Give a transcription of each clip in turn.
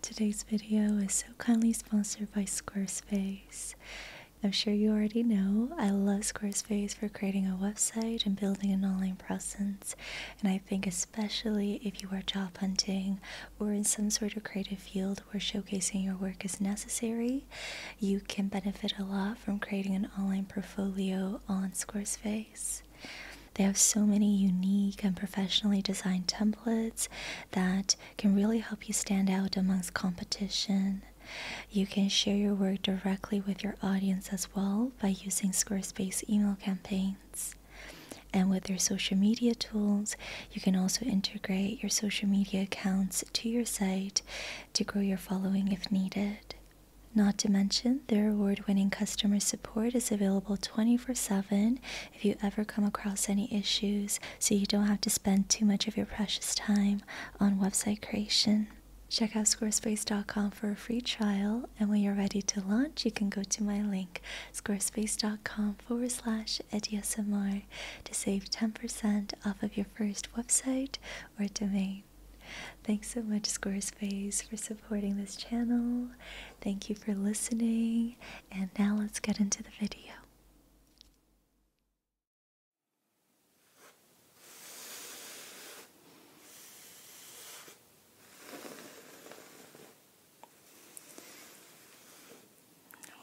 Today's video is so kindly sponsored by Squarespace. I'm sure you already know I love Squarespace for creating a website and building an online presence. And I think, especially if you are job hunting or in some sort of creative field where showcasing your work is necessary, you can benefit a lot from creating an online portfolio on Squarespace. They have so many unique and professionally designed templates that can really help you stand out amongst competition. You can share your work directly with your audience as well by using Squarespace email campaigns. And with their social media tools, you can also integrate your social media accounts to your site to grow your following if needed. Not to mention, their award winning customer support is available 24 7 if you ever come across any issues so you don't have to spend too much of your precious time on website creation. Check out squarespace.com for a free trial, and when you're ready to launch, you can go to my link, squarespace.com forward slash EDSMR, to save 10% off of your first website or domain. Thanks so much, Squarespace, for supporting this channel. Thank you for listening, and now let's get into the video.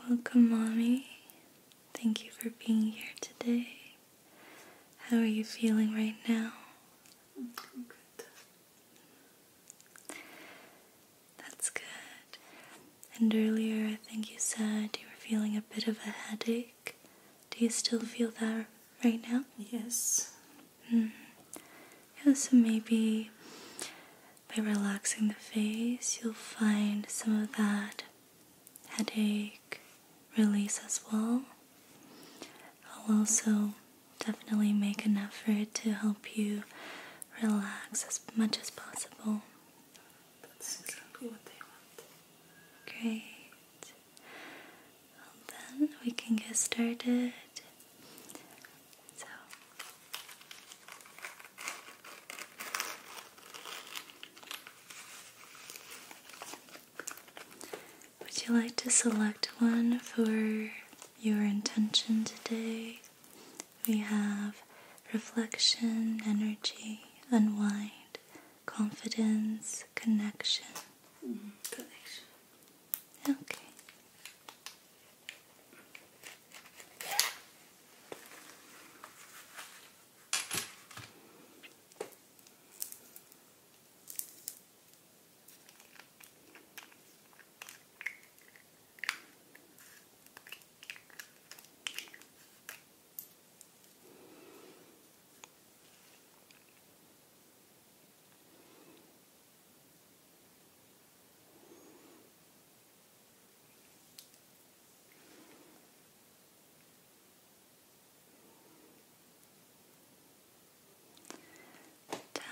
Welcome, Mommy. Thank you for being here today. How are you feeling right now? I'm good. That's good. And earlier, I think you said you were feeling a bit of a headache. Do you still feel that right now? Yes. Mm. Yeah, so maybe by relaxing the face, you'll find some of that headache release as well. I'll also definitely make an effort to help you relax as much as possible. That's exactly what they want. Great. then we can get started. So, would you like to select one for your intention today? We have reflection, energy, unwind, confidence, connection. connection. Mm-hmm. Okay.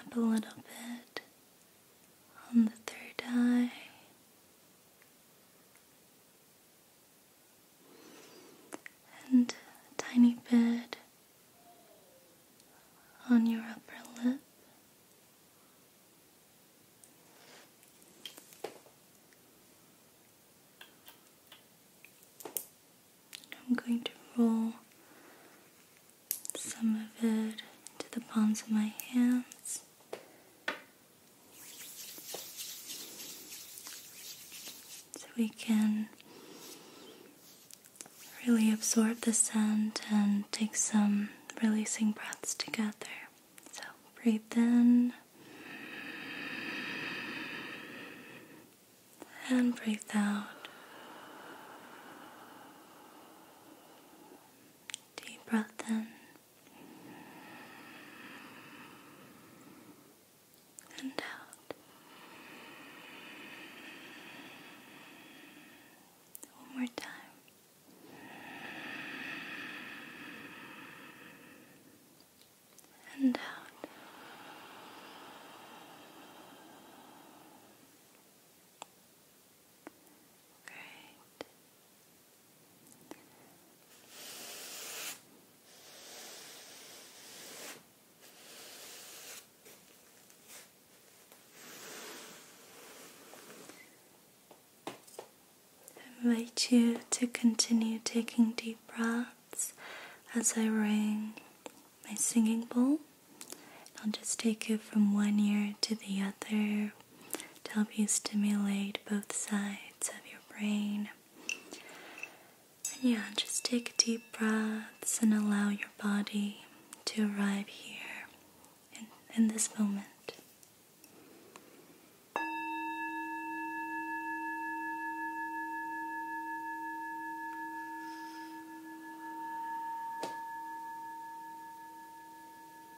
Tap a little bit on the third eye. And a tiny bit on your upper lip. I'm going to roll some of it to the palms of my hands. So we can really absorb the scent and take some releasing breaths together. So breathe in and breathe out. Deep breath in and out. One more time. And out. Great. I invite you to continue taking deep breaths as I ring my singing bowl. I'll just take it from one ear to the other, to help you stimulate both sides of your brain. And yeah, just take deep breaths and allow your body to arrive here in this moment.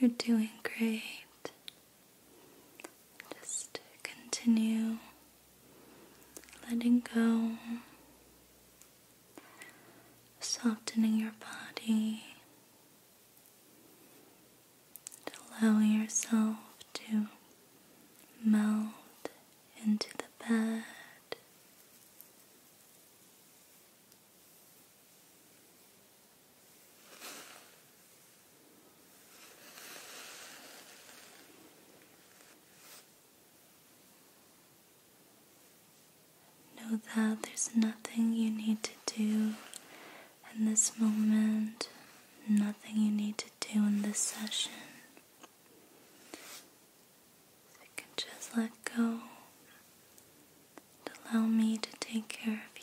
You're doing great. Just continue letting go, softening your body allow yourself to melt into the bed. Know that there's nothing you need to do in this moment nothing you need to do in this session. you can just let go and allow me to take care of you.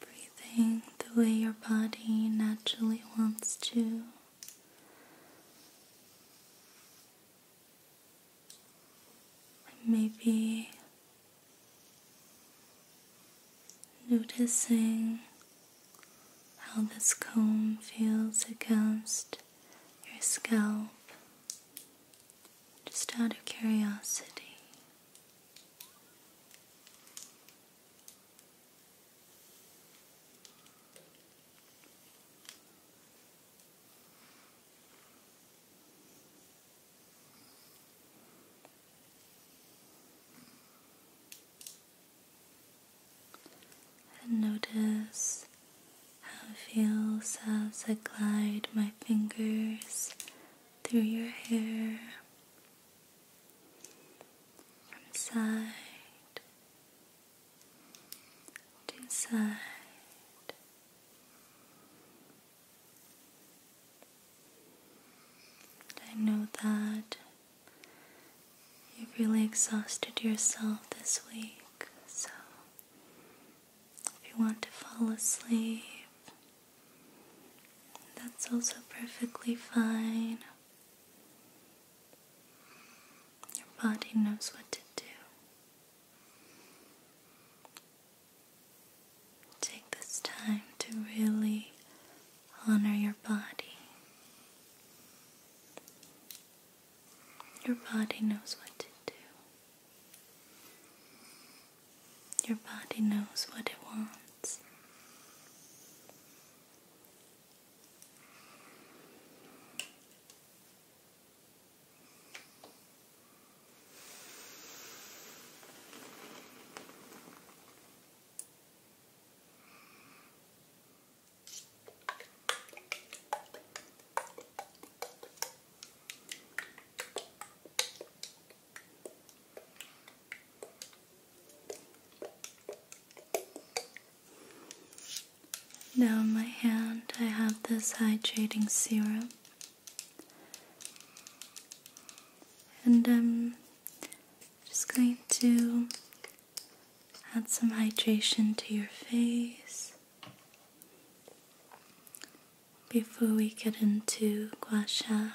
Breathing the way your body naturally wants to. Maybe noticing how this comb feels against your scalp just out of curiosity. And notice how it feels as I glide my fingers through your hair from side to side. I know that You've really exhausted yourself this week, so if you want to fall asleep, that's also perfectly fine. Your body knows what to do. Take this time to really honor your body. Your body knows what to do. Your body knows what it wants. Now, in my hand, I have this hydrating serum, and I'm just going to Add some hydration to your face before we get into guasha.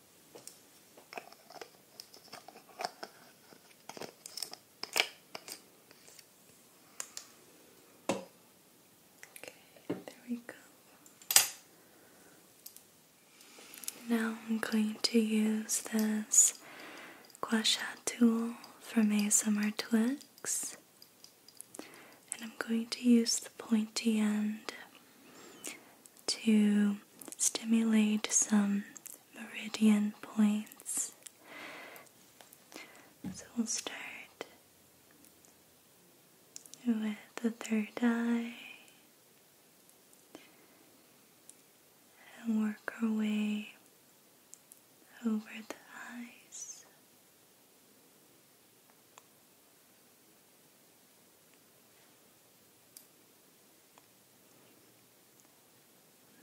Okay, there we go. Now I'm going to use this gua sha tool from A Summer Twix, and I'm going to use the pointy end to stimulate some meridian points. So we'll start with the third eye and work our way over the eyes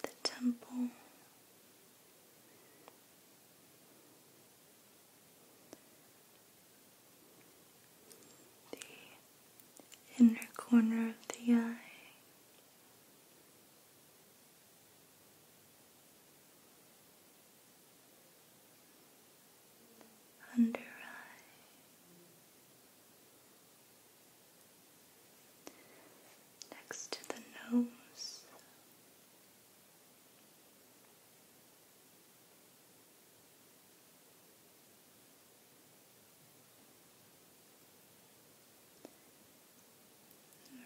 the temple, the inner corner of the eye. Under eye, next to the nose.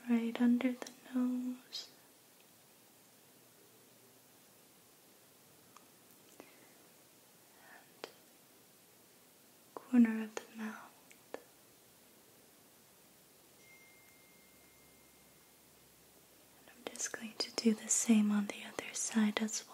Right under the nose, corner of the mouth. And I'm just going to do the same on the other side as well.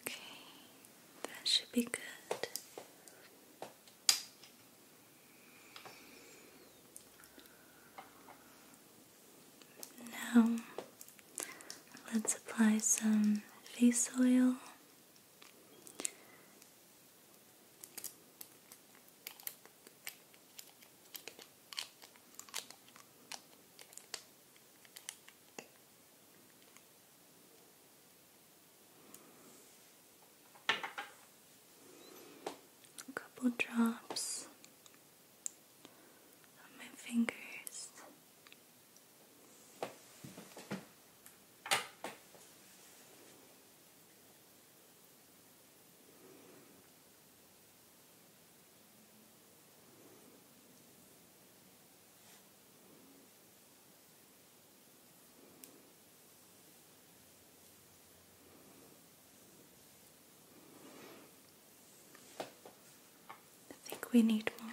Okay, that should be good. Now, let's apply some face oil a couple drops on my fingers. I think we need more.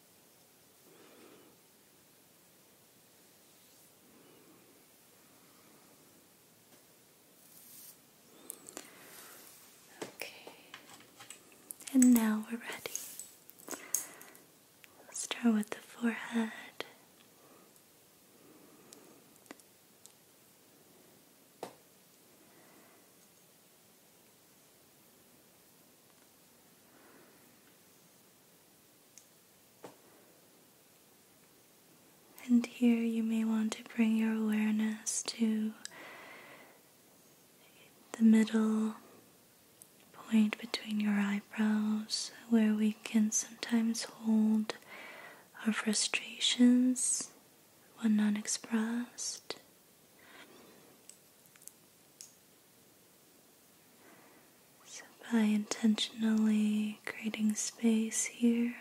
Okay, and now we're ready. Let's start with the forehead. And here you may want to bring your awareness to the middle point between your eyebrows, where we can sometimes hold our frustrations when unexpressed. So, by intentionally creating space here,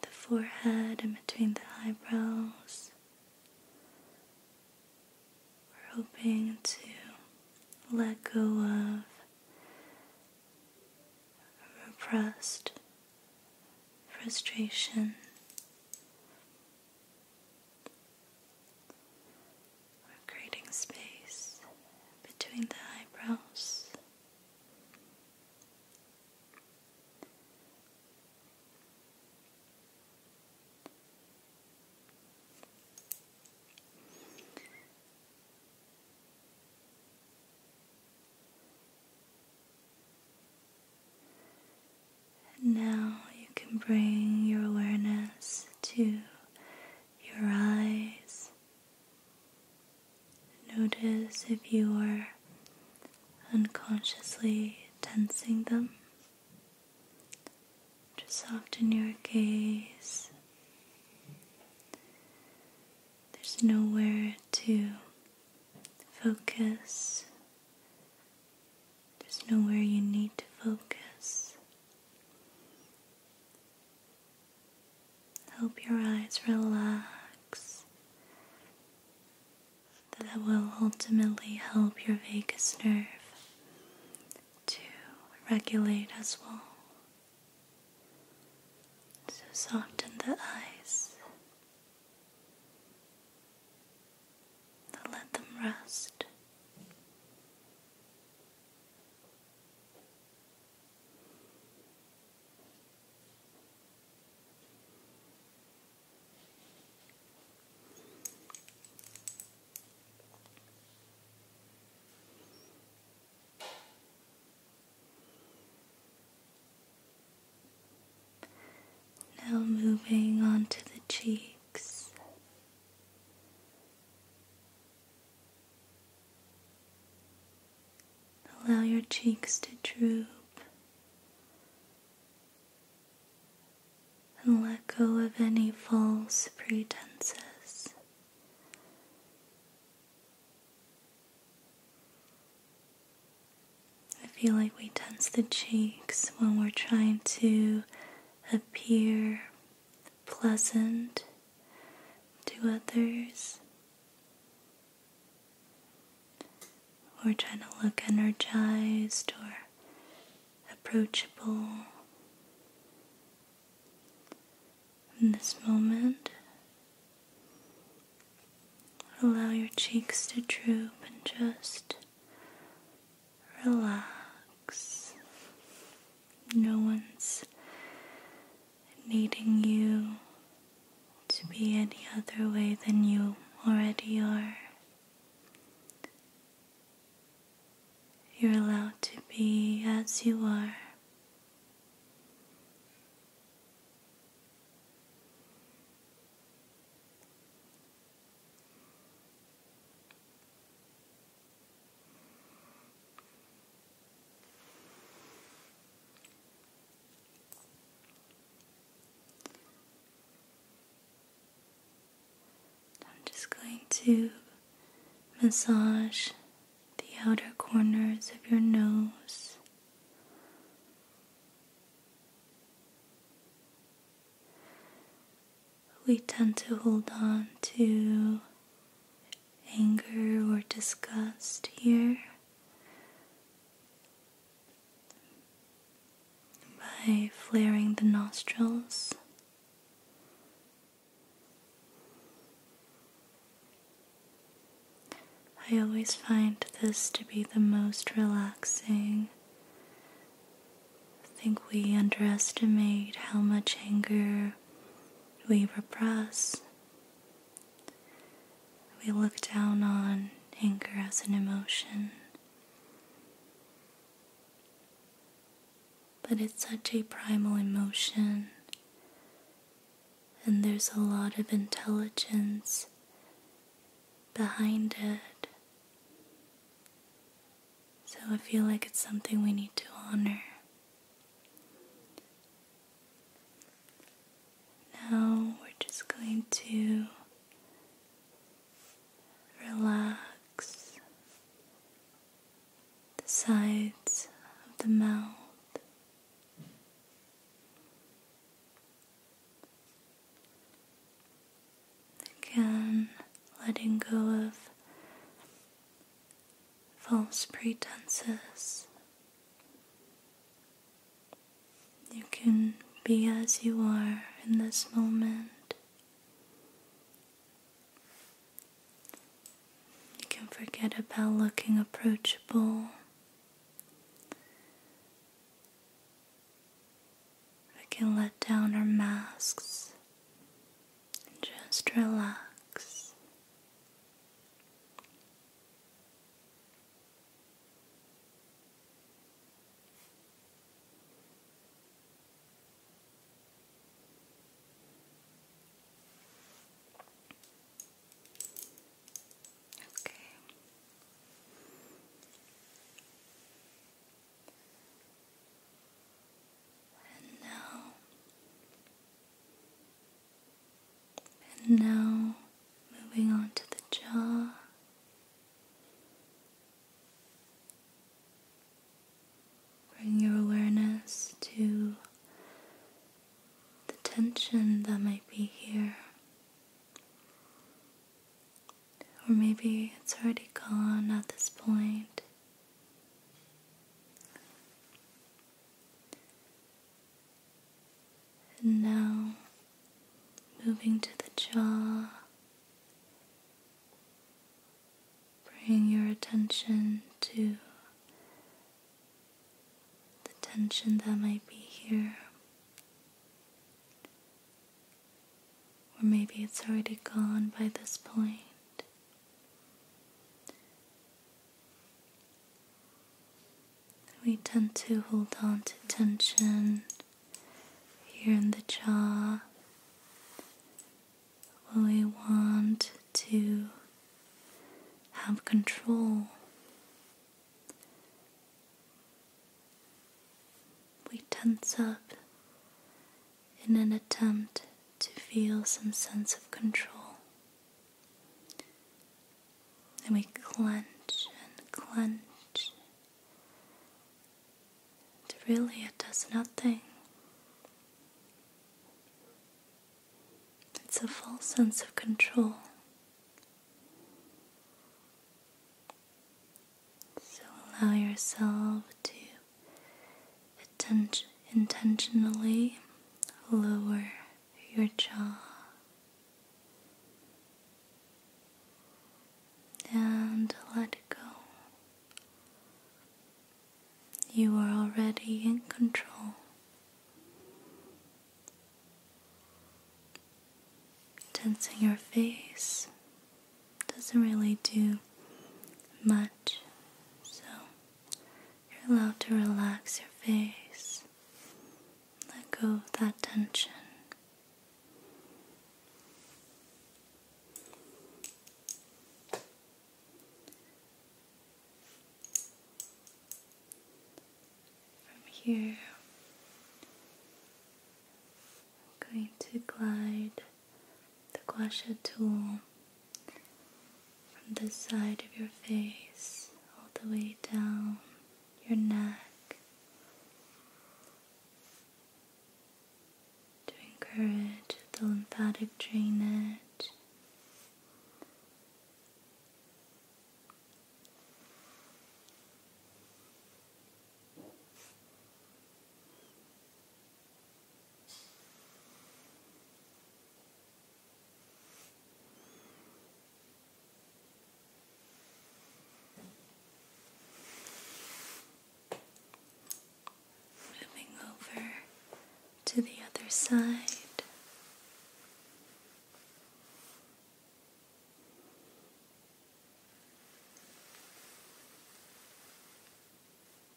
the forehead and between the eyebrows, we're hoping to let go of repressed frustration we're creating space between the eyebrows now you can bring your awareness to your eyes. Notice if you are unconsciously tensing them. Just soften your gaze. There's nowhere to focus just know where you need to focus. Help your eyes relax. That will ultimately help your vagus nerve to regulate as well. So soften the eyes let them rest. Now moving on to the cheeks. Allow your cheeks to droop and let go of any false pretenses. I feel like we tense the cheeks when we're trying to appear pleasant to others, or trying to look energized or approachable. In this moment, allow your cheeks to droop and just relax. No one's needing you to be any other way than you already are. You're allowed to be as you are. I'm just going to massage the outer corners of your nose we tend to hold on to anger or disgust here by flaring the nostrils. I always find this to be the most relaxing I think we underestimate how much anger we repress. We look down on anger as an emotion. But it's such a primal emotion, and there's a lot of intelligence behind it. So I feel like it's something we need to honor. Now we're just going to relax the sides of the mouth. Again, letting go of false pretenses. You can be as you are in this moment. You can forget about looking approachable. We can let down our masks and just relax. Okay and now, and now moving on to the jaw. Bring your awareness to the tension that might be here. Or maybe it's already gone at this point. And now moving to the jaw, bring your attention to the tension that might be here. Or maybe it's already gone by this point. We tend to hold on to tension here in the jaw when we want to have control. We tense up in an attempt to feel some sense of control. And we clench and clench. And really, it does nothing. It's a false sense of control. So allow yourself to intentionally lower your jaw and let it go. You are already in control. Tensing your face doesn't really do much, so you're allowed to relax your face, let go of that tension. From here, I'm going to glide the guasha tool from the side of your face all the way down your neck to encourage the lymphatic drainage. Moving over to the other side.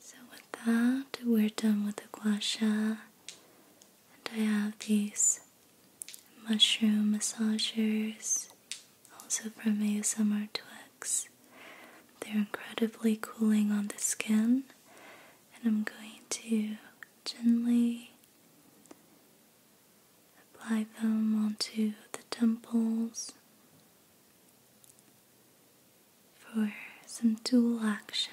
So, with that, we're done with the gua and I have these mushroom massagers also from ASMR Twix. They're incredibly cooling on the skin, and I'm going to gently apply them onto the temples for some dual action.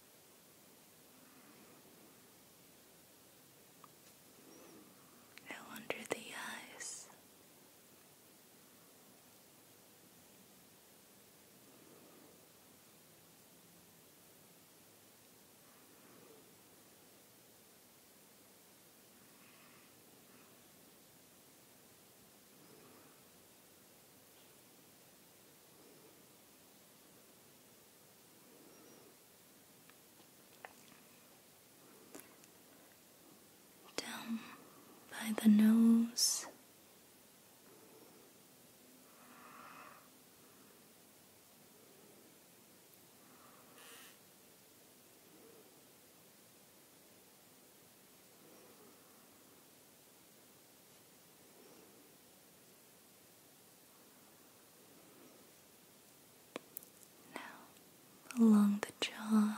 Now under the eyes down by the nose. Now along the jaw.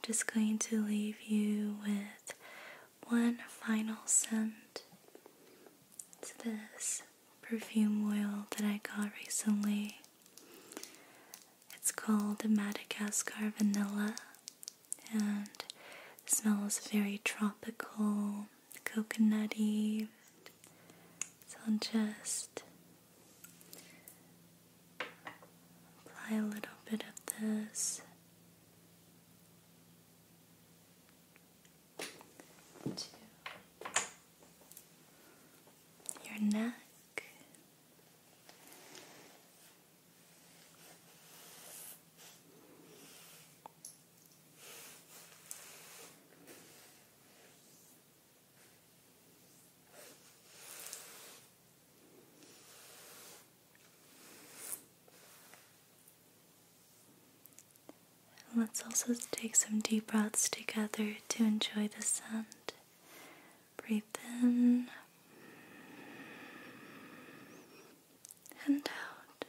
just going to leave you with one final scent. It's this perfume oil that I got recently. It's called Madagascar Vanilla and smells very tropical, coconutty. So I'll just apply a little bit of this to your neck let's also take some deep breaths together to enjoy the scent. Breathe in and out.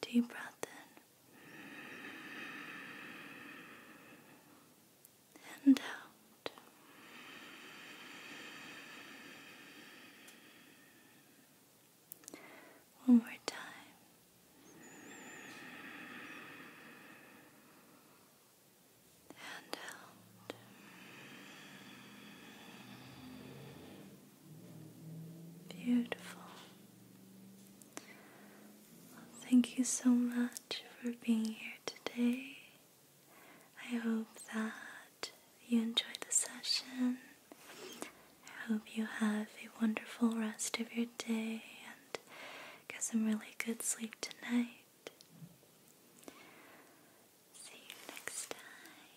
Deep breath in and out. One more time. And out. Beautiful. Thank you so much for being here today. I hope that you enjoyed the session. I hope you have a wonderful rest of your day and get some really good sleep tonight. See you next time.